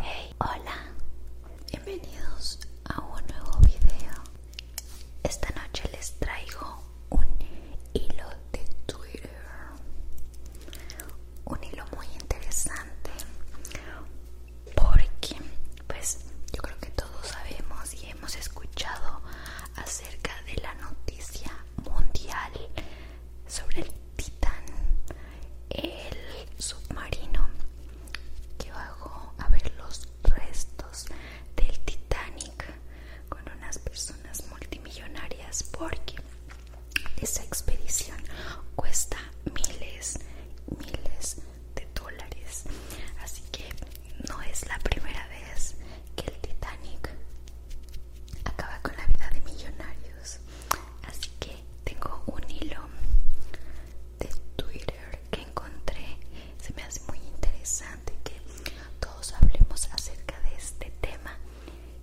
Hey, hola, bienvenidos a un nuevo video. Esta noche les traigo un hilo de Twitter, un hilo muy interesante, porque, pues, yo creo que todos sabemos y hemos escuchado acerca de la noticia mundial sobre el Titán, el submarino que bajó a ver los restos del Titanic con unas personas multimillonarias porque esa expedición cuesta miles, miles de dólares. Así que no es la primera vez que el Titanic acaba con la vida de millonarios. Así que tengo un hilo de Twitter que encontré. Se me hace muy interesante que todos hablemos acerca de este tema.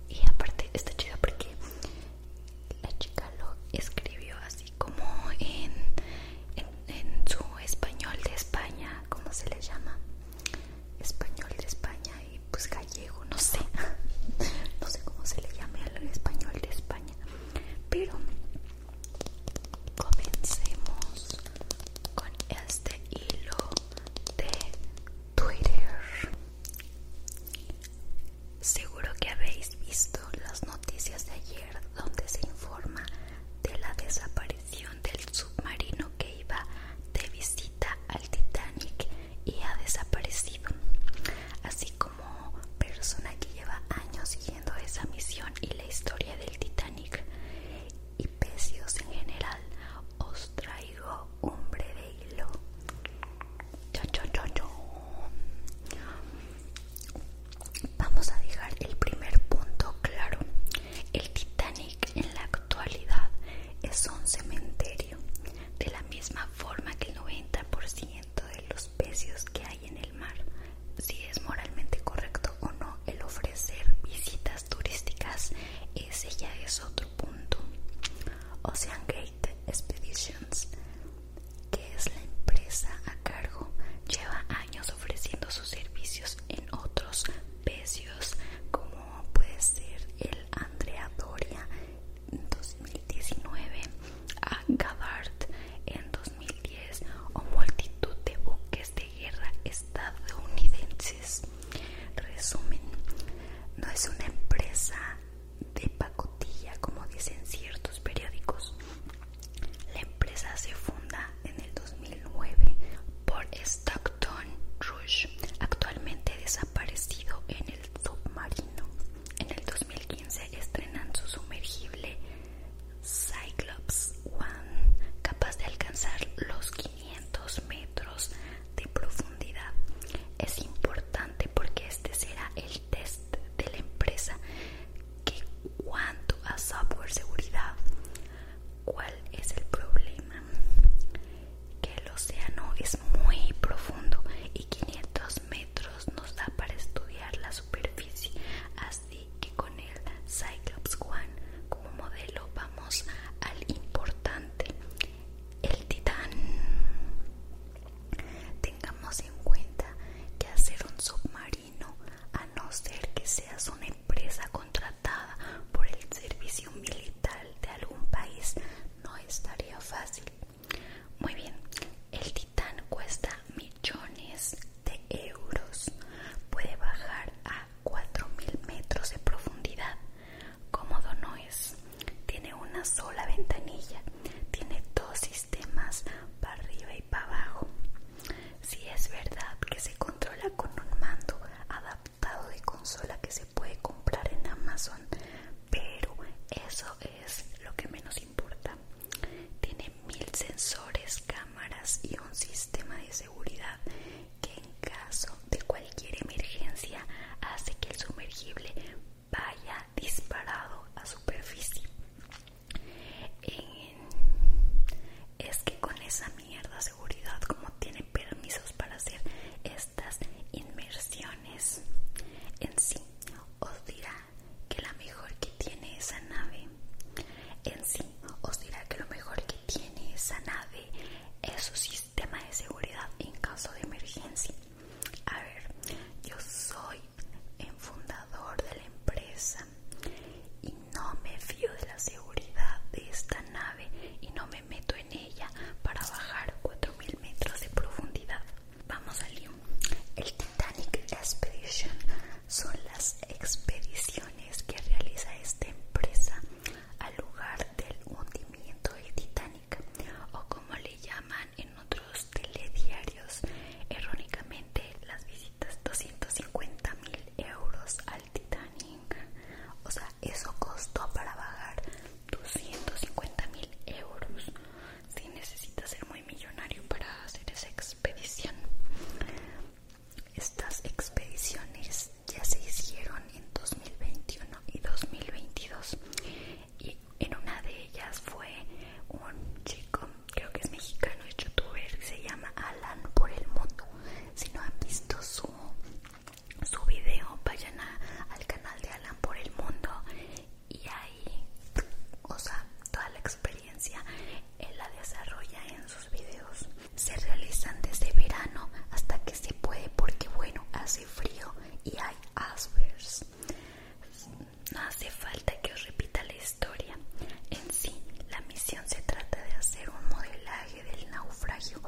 Y aparte está chido porque la chica lo escribió así como en, en, su español de España, ¿cómo se le llama? Español de España pues gallego, no sé, no sé cómo se le llame al español de España, pero comencemos con este hilo de Twitter. Seguro que habéis visto las noticias de ayer donde se informa de la desaparición del submarino que iba de visita al Titanic y ha desaparecido, así como persona que lleva años siguiendo esa misión y la historia del Titanic y pecios en general, os traigo hombre de hilo. Vamos a dejar el primer punto claro. El Titanic en la actualidad es un cementerio de la misma forma que el 90% de los pecios que hay en el mar. Si es moralmente correcto o no el ofrecer visitas turísticas, ese ya es otro punto. Ocean Gate Expeditions, que es la empresa a cargo, lleva años ofreciendo sus servicios en otros pecios como puede ser el Andrea Doria 2019 a Gabbard en 2010 o multitud de buques de guerra estadounidenses. Resumen, no es una empresa de pacotilla como dicen ciertos periódicos. La empresa se funda en el 2009 por Stockton Rush, actualmente desaparecido en el submarino. En el 2015 estrenan su sumergible Cyclops One, capaz de alcanzar los 500 metros de profundidad. Es importante porque este será el test de la empresa que cuanto a software seguridad, ¿cuál es el problema? que el océano es muy profundo y 500 metros nos da para estudiar la superficie, así que con el Cyclops One como modelo vamos al importante, el Titán. Tengamos en cuenta que hacer un submarino, a no ser que seas una empresa contratada por el servicio militar de algún país, no estaría fácil muy bien, el titán cuesta millones de euros. Puede bajar a 4.000 metros de profundidad. Cómodo no es. Tiene una sola ventanilla. Tiene dos sistemas para arriba y para abajo. Si es verdad que se controla con un mando adaptado de consola que se puede comprar en Amazon, pero eso es lo que menos importa. Tiene mil sensores, cámaras y un sistema de seguridad que en caso de cualquier emergencia hace que el sumergible vaya disparado a superficie. es que con esa mierda seguridad como tiene permisos para hacer estas inmersiones en sí os dirá que la mejor que tiene esa nave en sí os dirá que lo mejor que tiene esa nave es su sistema de seguridad en caso de emergencia. A ver, yo soy el fundador de la empresa y no me fío de la seguridad de esta nave y no me meto ella para bajar 4000 metros de profundidad. Vamos al El Titanic Expedition son las expediciones que realiza esta empresa al lugar del hundimiento del Titanic, o como le llaman en otros telediarios errónicamente las visitas 250 mil euros al Titanic. O sea, eso costó para bajar 250 mil euros. Si necesita ser muy millonario para hacer esa expedición. Estas expediciones ya se hicieron en 2021 y 2022. Y en una de ellas fue un chico, creo que es mexicano, es youtuber, se llama Alan por el mundo. Si no han visto su su video vayan al canal de Alan por el mundo y ahí o sea toda la experiencia él la desarrolla en sus videos se realizan desde verano hasta que se puede porque bueno hace frío y hay icebergs no hace falta que os repita la historia en sí la misión se trata de hacer un modelaje del naufragio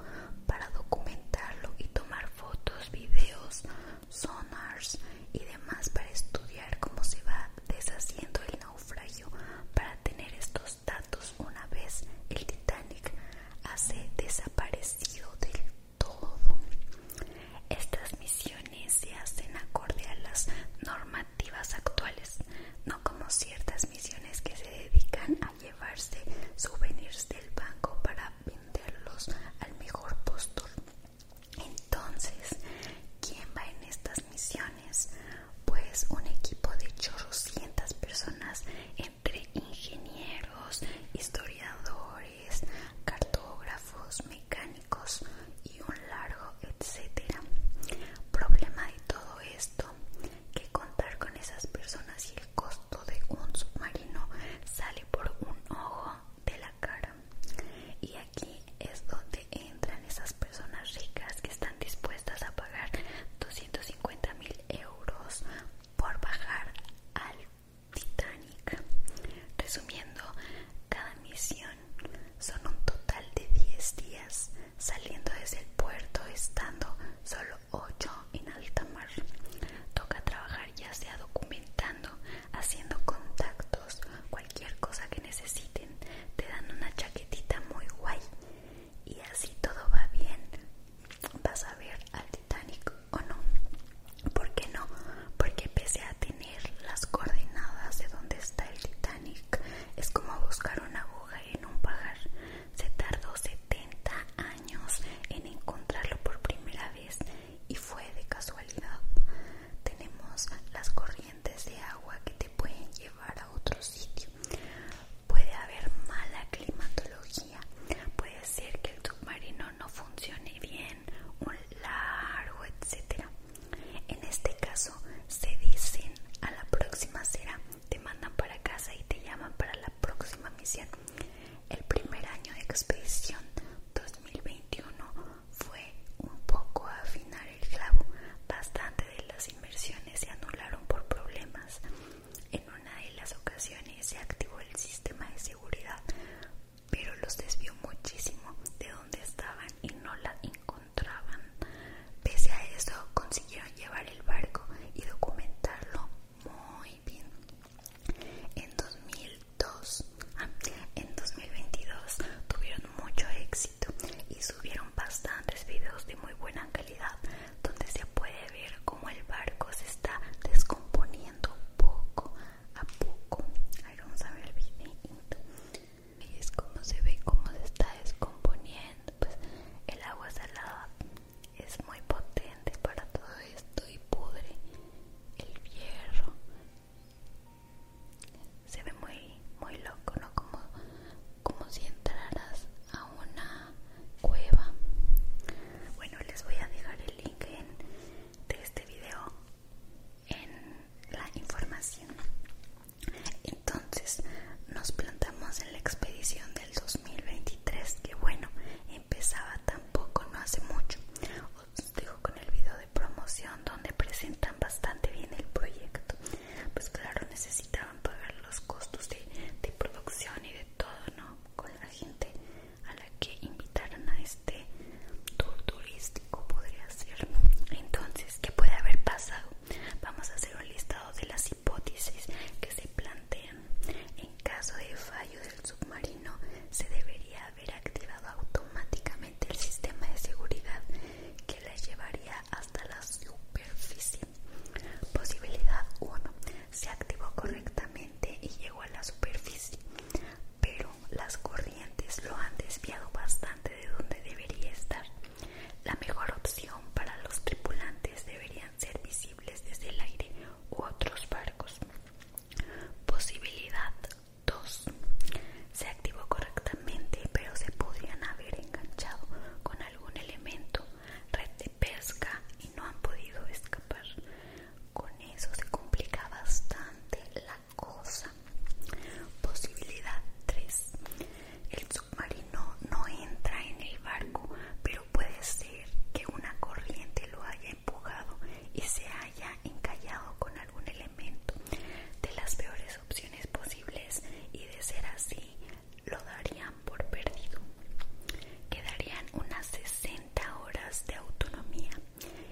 para documentarlo y tomar fotos, videos, sonars y demás para estudiar cómo se va deshaciendo el naufragio para tener estos datos una vez el Titanic hace desaparecido del todo. Estas misiones se hacen acorde a las normativas actuales, no como ciertas misiones que se dedican a llevarse souvenirs del banco para al mejor postor. Entonces, ¿quién va en estas misiones? Pues un equipo de 800 personas entre ingenieros, historiadores, cartógrafos, mecánicos y un largo etcétera. Problema de todo esto, que contar con esas personas y el costo de un submarino sale por un ojo de la cara. Y aquí es donde entran esas personas ricas que están dispuestas a pagar 250 mil euros por bajar al Titanic. Resumiendo, cada misión son un total de 10 días, saliendo desde el puerto estando solo 8 en alta mar. Toca trabajar ya sea documentando, haciendo contactos, cualquier cosa que necesiten. Te dan una chaquetita muy guay y así todo va bien. Vas a ver al Titanic o no. ¿Por qué no? Porque pese a tener las coordenadas de dónde está el Titanic, es como buscar una aguja en un pajar. Se tardó 70 años en encontrarlo por primera vez y fue de casualidad. Tenemos las corrientes de agua que te pueden llevar a otro sitio. Puede haber mala climatología, puede ser que el submarino no funcione bien, un largo, etcétera. En este caso se dicen a la próxima será, te mandan para casa y te llaman para la próxima misión. El primer año de expedición 2021 fue un poco afinar el clavo. Bastante de las inversiones se anularon por problemas. En una de las ocasiones se activó el sistema de seguridad, pero los desvió muchísimo de donde estaban y no la encontraban. Pese a eso, consiguieron llevar el barco y documentarlo muy bien. En 2002, ah, en 2022 tuvieron mucho éxito y subieron bastantes videos de muy buena calidad donde se puede ver cómo el barco se está descomponiendo poco a poco. Ahí vamos a ver el video Y es como se ve cómo se está descomponiendo. Pues el agua salada es muy potente para todo esto y pudre el hierro se ve muy muy loco no como como si entraras a una cueva bueno les voy a dejar el link de este video en la información entonces nos plantamos en la expedición del 2023 que bueno empezaba tampoco no hace mucho. Os dejo con el video de promoción donde presentan bastante bien el proyecto. Pues claro, necesitaban pagar los costos de, producción y de todo, ¿no? Con la gente a la que invitaron a este tour turístico podría ser. Entonces, ¿qué puede haber pasado? Vamos a hacer un listado de las hipótesis que se plantean en caso de fallo del submarino, se debería haber activado automáticamente el sistema de seguridad que la llevaría hasta la superficie. Posibilidad 1. Se activó correctamente y llegó a la superficie, pero las corrientes lo han desviado bastante de donde debería estar. La mejor opción para los tripulantes deberían ser visibles desde el aire u otros barcos. Posibilidad 2. Se activó correctamente, pero se podrían haber enganchado con algún elemento, red de pesca y no han podido escapar. Con eso se complica bastante la cosa. Posibilidad 3. El submarino no entra en el barco, pero puede ser que una corriente lo haya empujado y se haya encallado con algún elemento de las peores opciones posibles y de ser así lo darían por perdido. Quedarían unas 60 horas de autonomía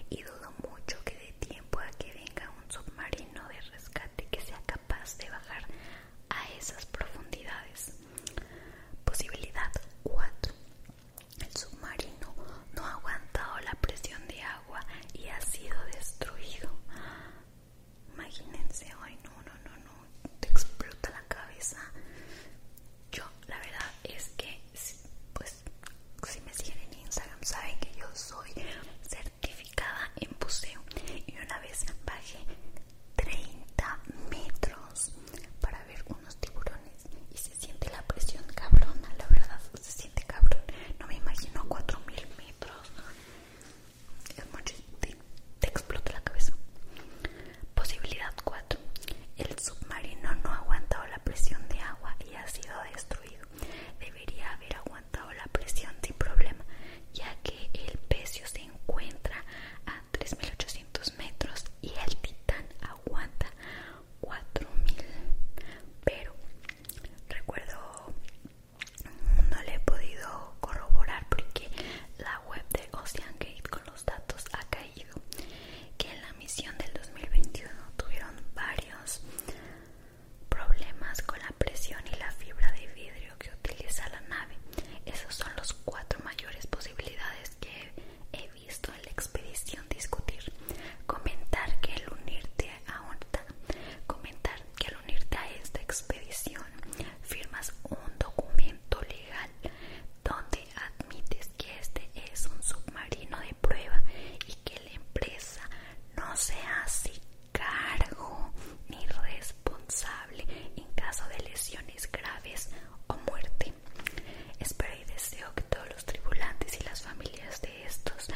y dudo mucho que dé tiempo a que venga un submarino de rescate que sea capaz de bajar a esas profundidades. Posibilidad 4. El submarino no ha aguantado la presión de agua y ha sido destruido. Imagínense, ay no, no, no, no, te explota la cabeza. Yo, la verdad es que, pues, si me siguen en Instagram saben que yo soy certificada en buceo y una vez bajé 30 metros para ver unos tiburones y se siente la presión cabrona, la verdad, se siente cabrón. No me imagino 4000 metros. Es te, explota la cabeza. Posibilidad 4. El submarino no ha aguantado la presión de agua y ha sido destruido. Debería haber aguantado la presión sin problema, ya que el pecio se encuentra a 3800 metros y el titán aguanta 4000 pero recuerdo no le he podido corroborar porque la web de Gate con los datos ha caído que en la misión del 2021 tuvieron varios problemas con la presión y la fibra de vidrio que utiliza la nave esos son los cuatro mayores posibilidades que he visto en la expedición discutir, comentar que al unirte a comentar que al unirte a esta expedición firmas un documento legal donde admites que este es un submarino de prueba y que la empresa no se hace cargo ni responsable en caso de lesiones graves o muerte. Espero y deseo que todos los tripulantes y las familias de estos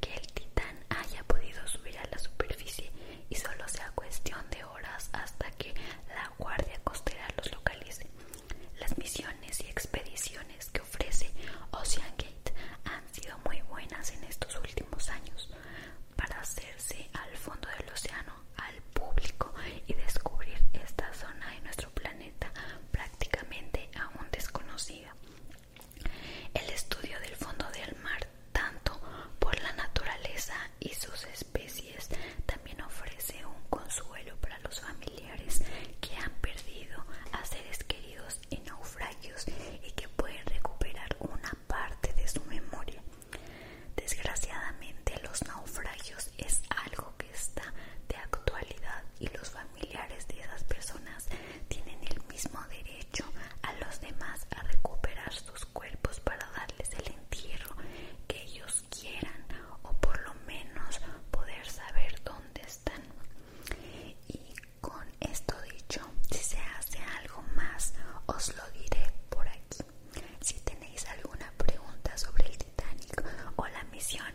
que el titán haya podido subir a la superficie y solo sea cuestión de horas hasta que la guardia costera los localice. Las misiones y expediciones que ofrece Ocean Gate han sido muy buenas en estos últimos años para hacerse al fondo del océano al público y descubrir esta zona de nuestro planeta prácticamente aún desconocida. El estudio del fondo del mar, tanto por la naturaleza y sus especies, también ofrece un consuelo para los familiares que han perdido a seres queridos en naufragios y que pueden recuperar una parte de su memoria. Desgraciadamente los naufragios es algo que está de actualidad y los familiares de esas personas tienen el mismo derecho a los demás a recuperar sus cuerpos para darles el entierro que ellos quieran o por lo menos poder saber dónde están. Y con esto dicho, si se hace algo más, os lo diré por aquí. Si tenéis alguna pregunta sobre el Titanic o la misión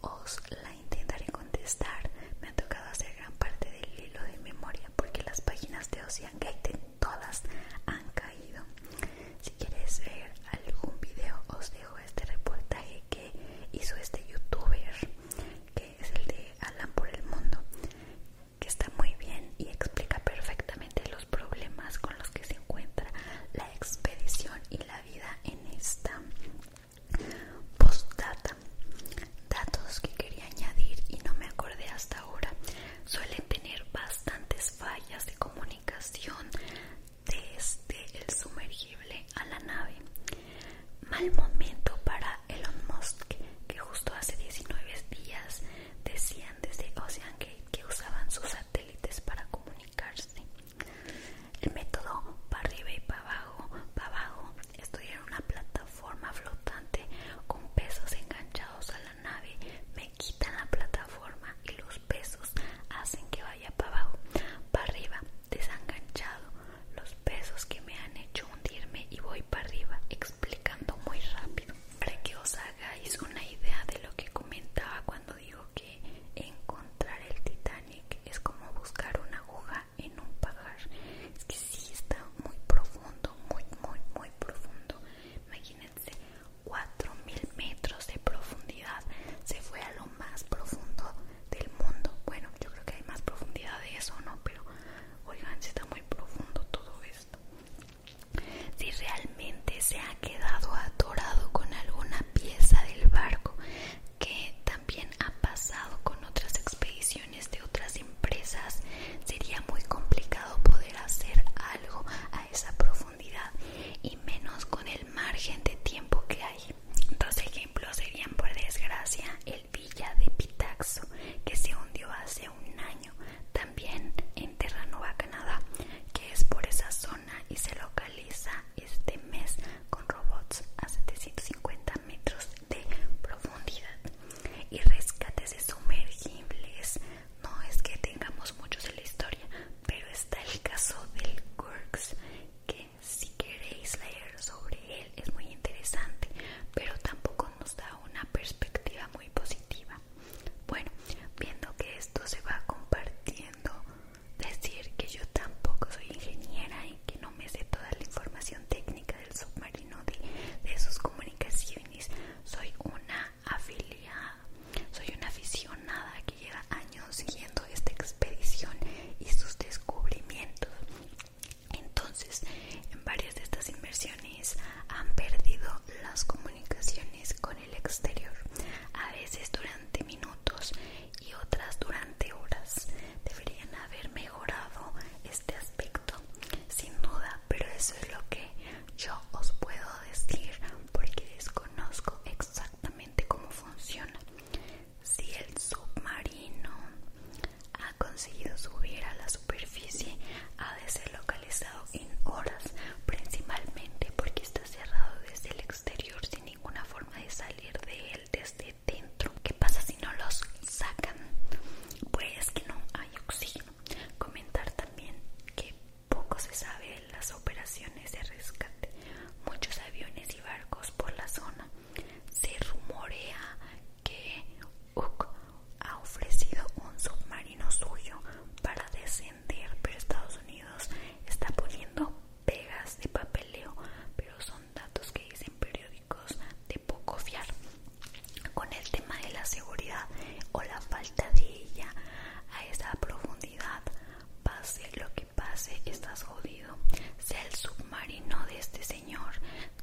os la intentaré contestar. Me ha tocado hacer gran parte del hilo de memoria porque las páginas de Ocean Gate todas han caído. Si quieres ver algún video, os dejo este reportaje que hizo este youtuber, que es el de Alan por el Mundo, que está muy bien y explica perfectamente los problemas con los que se encuentra la expedición y la vida en esta postdata. Datos que quería añadir y no me acordé hasta ahora. Suelen tener bastantes fallas de comunicación desde el sumergible a la nave. Mal momento para Elon Musk, que justo hace 19 días decían desde Ocean Gate que usaban sus satélites para comunicarse. El método para arriba y para abajo, para abajo, estoy en una plataforma flotante con pesos enganchados a la nave, me quitan la plataforma y los pesos hacen que vaya para abajo, para arriba, desenganchado, los pesos que me han hecho hundirme y voy para arriba, explicando muy rápido, para que os hagáis una idea de lo que comentaba cuando digo que encontrar el Titanic es como buscar una aguja en un pagar Es que si está muy profundo, muy, muy, muy profundo. Imagínense, 4.000 metros de profundidad. Se fue a lo más profundo del mundo. Bueno, yo creo que hay más profundidad de eso, ¿no? Pero, oigan, si está muy profundo todo esto. Si realmente se ha quedado atorado con alguna pieza del barco, que también ha pasado con otras expediciones de otras empresas, sería muy complicado poder hacer algo a esa profundidad y menos con el margen de tiempo que hay. Dos ejemplos serían, por desgracia, el Villa de Pitaxo, que se hundió hace un año, también en Terranova, Canadá, que es por esa zona y se lo realiza este mes con robots a 750 metros de profundidad y rescates de sumergibles. No es que tengamos muchos en la historia, pero está el caso del Quirks que si queréis leer sobre él es muy interesante, pero tampoco nos da una perspectiva muy positiva. Bueno, viendo que esto se va compartiendo decir que yo tampoco soy ingeniera y que no me sé toda la información técnica del submarino de, sus comunicaciones. Soy una afiliada, soy una aficionada que lleva años siguiendo esta expedición y sus descubrimientos. Entonces, en varias de estas inversiones han perdido las comunicaciones con el exterior, a veces durante minutos y otras durante horas. Deberían haber mejorado este aspecto, sin duda, pero eso es lo que yo os puedo decir porque desconozco exactamente cómo funciona. Si el submarino ha conseguido subir a la superficie, ha de ser localizado en horas, principalmente porque está cerrado desde el exterior exterior sin ninguna forma de salir de él desde dentro. ¿Qué pasa si no los sacan? Pues que no hay oxígeno. Comentar también que poco se sabe de las operaciones de rescate. Muchos aviones y barcos por la zona. Se rumorea que ha ofrecido un submarino suyo para descender, pero Estados Unidos está poniendo pegas de papeleo, pero son datos que dicen periódicos de poco fiar. Con el tema de la seguridad o la falta de ella a esa profundidad, pase lo que pase, estás jodido. Sea el submarino de este señor,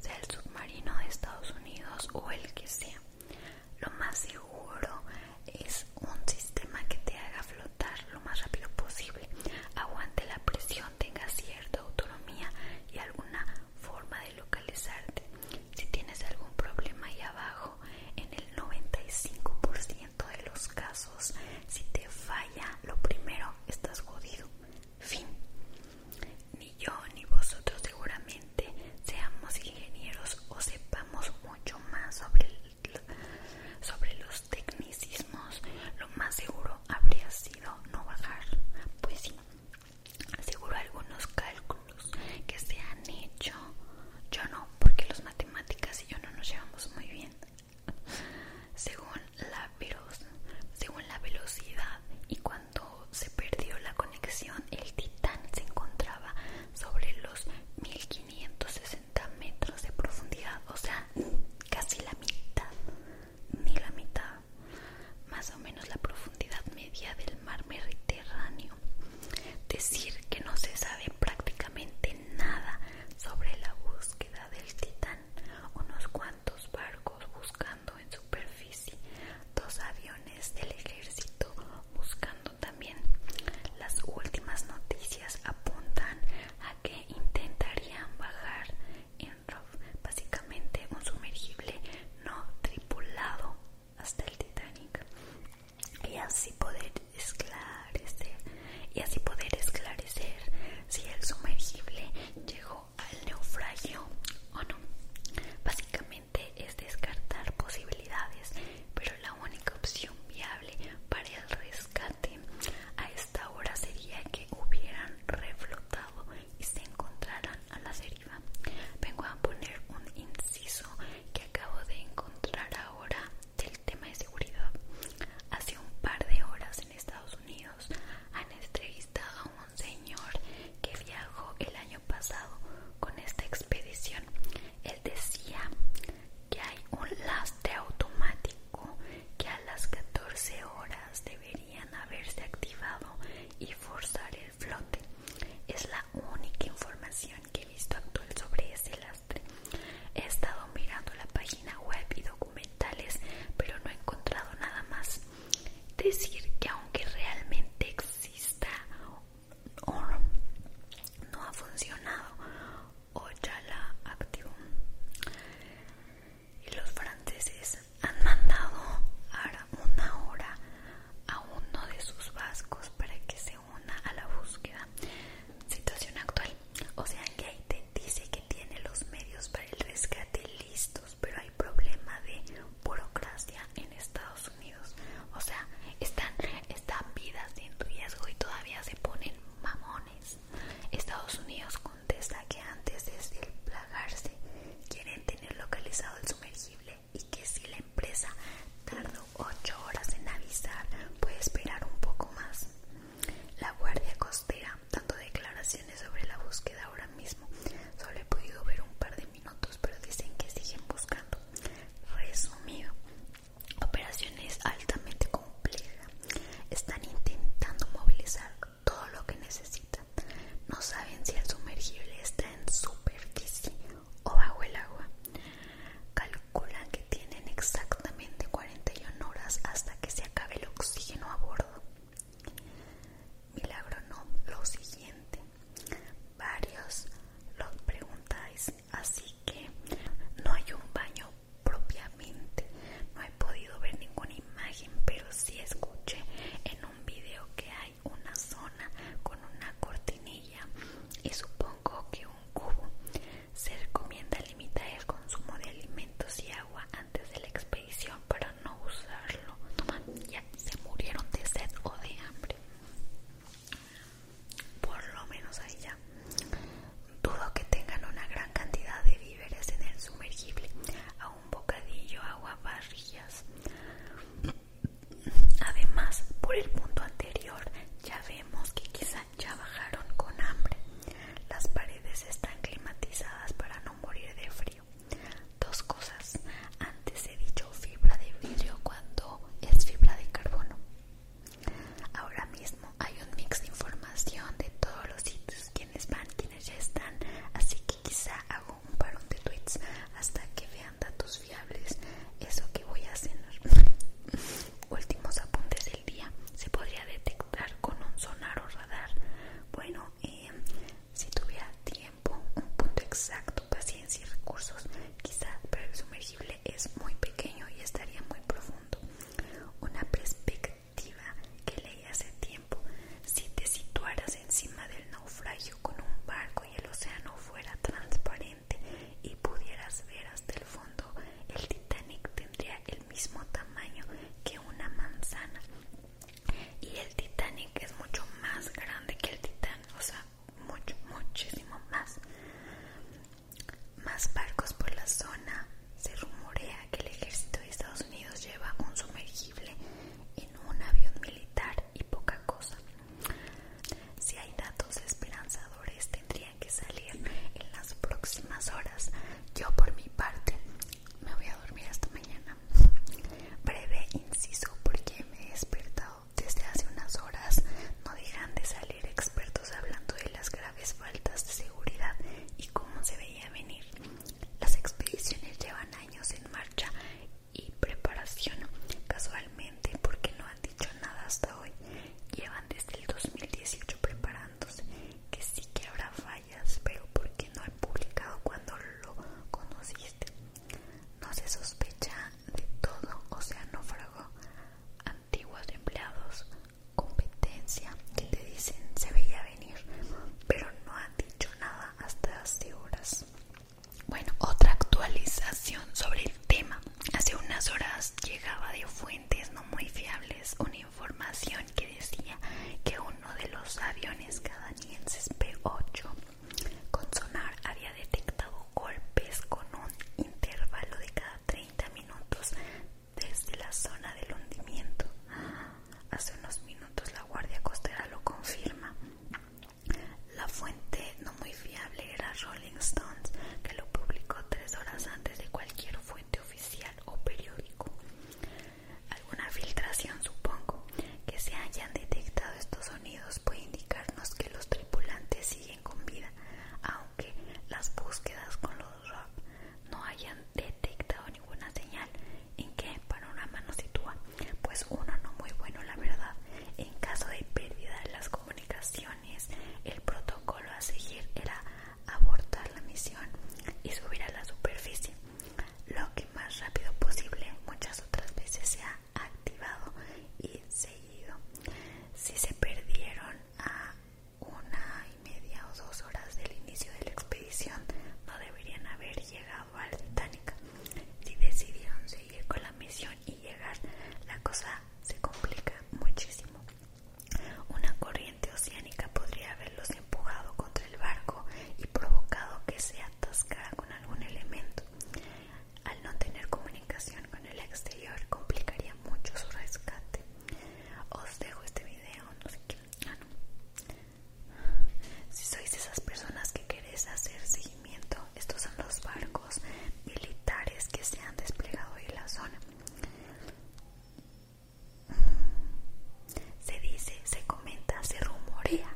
sea el submarino de Estados Unidos o el que sea. Lo más seguro es un sistema que te haga flotar lo más rápido posible, aguante la presión, tenga cierta autonomía y alguna forma de localizarte. Si tienes algún problema ahí abajo, en el 95% de los casos, si te falla, lo primero estás jodido. Fin. Ni yo ni vosotros seguramente seamos ingenieros o sepamos mucho más sobre el sobre los tecnicismos, lo más seguro habría sido no bajar. Pues sí, seguro algunos cálculos que se han hecho. Yo no, porque los matemáticas y yo no nos llevamos muy bien. Según la, según la velocidad y cuando se perdió la conexión, el Titán se encontraba sobre los 1560 metros de profundidad, o sea, casi la mitad, ni la mitad, más o menos la profundidad media del mar Mediterráneo. Decir que no se sabe prácticamente nada sobre la búsqueda del Titán, unos cuantos barcos buscando en superficie, dos aviones del ejército buscando también. Las últimas noticias apuntan a que intentarían bajar en ROV, básicamente un sumergible no tripulado hasta el Titanic y así poder esclarecer y así poder esclarecer si el sumergible llegó al naufragio o no. Básicamente es descartar posibilidades, pero la única opción viable para el rescate a esta hora sería que hubieran reflotado y se encontraran a la deriva. Vengo a poner un inciso que acabo de encontrar ahora del tema de seguridad. Hace un par de horas en Estados Unidos han entrevistado a un señor que viajó el año pasado con esta expedición. Él decía que hay un lastre automático que a las 14 horas deberían haberse activado y forzar el flote. Es la única información que he visto actual sobre ese lastre. He estado mirando la página web y documentales, pero no he encontrado nada más. Decir que aunque realmente exista o no ha funcionado Ojalá activo. Y los franceses han mandado a una hora a uno de sus vascos para que se una a la búsqueda. Situación actual. O sea que dice que tiene los medios para el rescate listos, pero hay problema de burocracia en Estados Unidos. O sea, están, están vidas en riesgo y todavía se ponen mamón Estados Unidos contesta que antes de plagarse quieren tener localizado el sumergible y que si la empresa tardó 8 horas en avisar puede esperar un poco más. La Guardia Costera dando declaraciones sobre la búsqueda ahora mismo. Solo he podido ver un par de minutos pero dicen que siguen buscando. Resumido, Operación es altamente compleja. Están intentando movilizar todo lo que necesitan. No saben si el sumergible está en superficie o bajo el agua. Calculan que tienen exactamente 41 horas hasta que se acabe el oxígeno a bordo. Milagro no, lo siguiente. Varios lo preguntáis así que no hay un baño propiamente no he podido ver ninguna imagen pero sí escuché en un video que hay una zona con una cortinilla y supongo que un cubo se recomienda limitar el consumo de alimentos y agua antes de la expedición para no usarlo Toma, ya se murieron de sed o de hambre por lo menos ahí ya. Dudo que tengan una gran cantidad de víveres en el sumergible, a un bocadillo, agua, barrigas Además, por el punto anterior, ya vemos que quizá ya bajaron con hambre. Las paredes están climatizadas para no morir de frío. Dos cosas. Antes he dicho fibra de vidrio cuando es fibra de carbono. Ahora mismo hay un mix de información de todos los sitios, quienes van, quienes ya están, así que quizá hago un parón de tweets hasta que vean datos fiables. Eso que voy a cenar. Últimos apuntes del día. Se podría detectar con un sonar o radar. Bueno, em, si tuviera tiempo, un punto exacto, paciencia y recursos, quizá, pero el sumergible es muy pequeño y estaría muy profundo una perspectiva que leí hace tiempo si te situaras encima del naufragio con un barco y el océano fuera transparente y pudieras ver hasta el fondo, el Titanic tendría el mismo tamaño que una manzana. Y el Titanic es mucho más grande que el Titanic o sea, mucho, muchísimo más. Más barcos por la zona. Se rumorea que el ejército de Estados Unidos lleva un sumergible en un avión militar y poca cosa. Si hay datos esperanzadores tendrían que salir en las próximas horas. Yo por mi parte me voy a dormir hasta mañana. Breve inciso porque me he despertado desde hace unas horas. No dejan de salir expertos hablando de las graves faltas de seguridad y cómo se veía venir. Las expediciones llevan años en marcha y preparación, casualmente porque no han dicho nada hasta hoy. Llevan desde el 2018 preparándose, que sí que habrá fallas, pero porque no han publicado cuando lo conociste? No se sospecha de todo, o sea, no naufragó. Antiguos empleados, competencia que te dicen se veía venir, pero no ha dicho nada hasta hace horas. Bueno, otra actualización sobre el tema. Hace unas horas llegaba de fuentes no muy fiables una información que decía que uno de los aviones canadienses P8 con sonar había detectado golpes con un intervalo de cada 30 minutos desde la zona del hundimiento. Hace unos minutos la Guardia Costera lo confirma. La fuente no muy fiable era Rolling Stones, que lo publicó tres horas antes de cualquier fuente oficial o periódico. Alguna filtración, supongo, que se hayan detectado estos sonidos puede indicarnos que los tripulantes siguen con vida, aunque las búsquedas con los no hayan detectado ninguna señal en que para una mano sitúa, pues uno no muy bueno la verdad. En caso de pérdida de las comunicaciones, el protocolo a seguir era abortar la misión y subir a la superficie, lo que más rápido posible muchas otras veces se ha activado y seguido. Si se perdieron a ah, una y media o dos horas del inicio de la expedición no deberían haber llegado al Titanic. Si decidieron seguir con la misión y llegar, la cosa se complica muchísimo. Una corriente oceánica podría haberlos empujado contra el barco y provocado que se atascara con algún elemento. Al no tener comunicación con el exterior, complicaría mucho su rescate. Os dejo este video, no sé qué. Ah, si sois esas personas que queréis hacer seguimiento, estos son los barcos militares que se han desplegado en la zona. Se dice, se comenta, se rumorea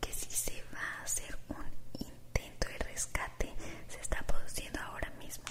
que si se va a hacer un intento de rescate, se está produciendo ahora mismo.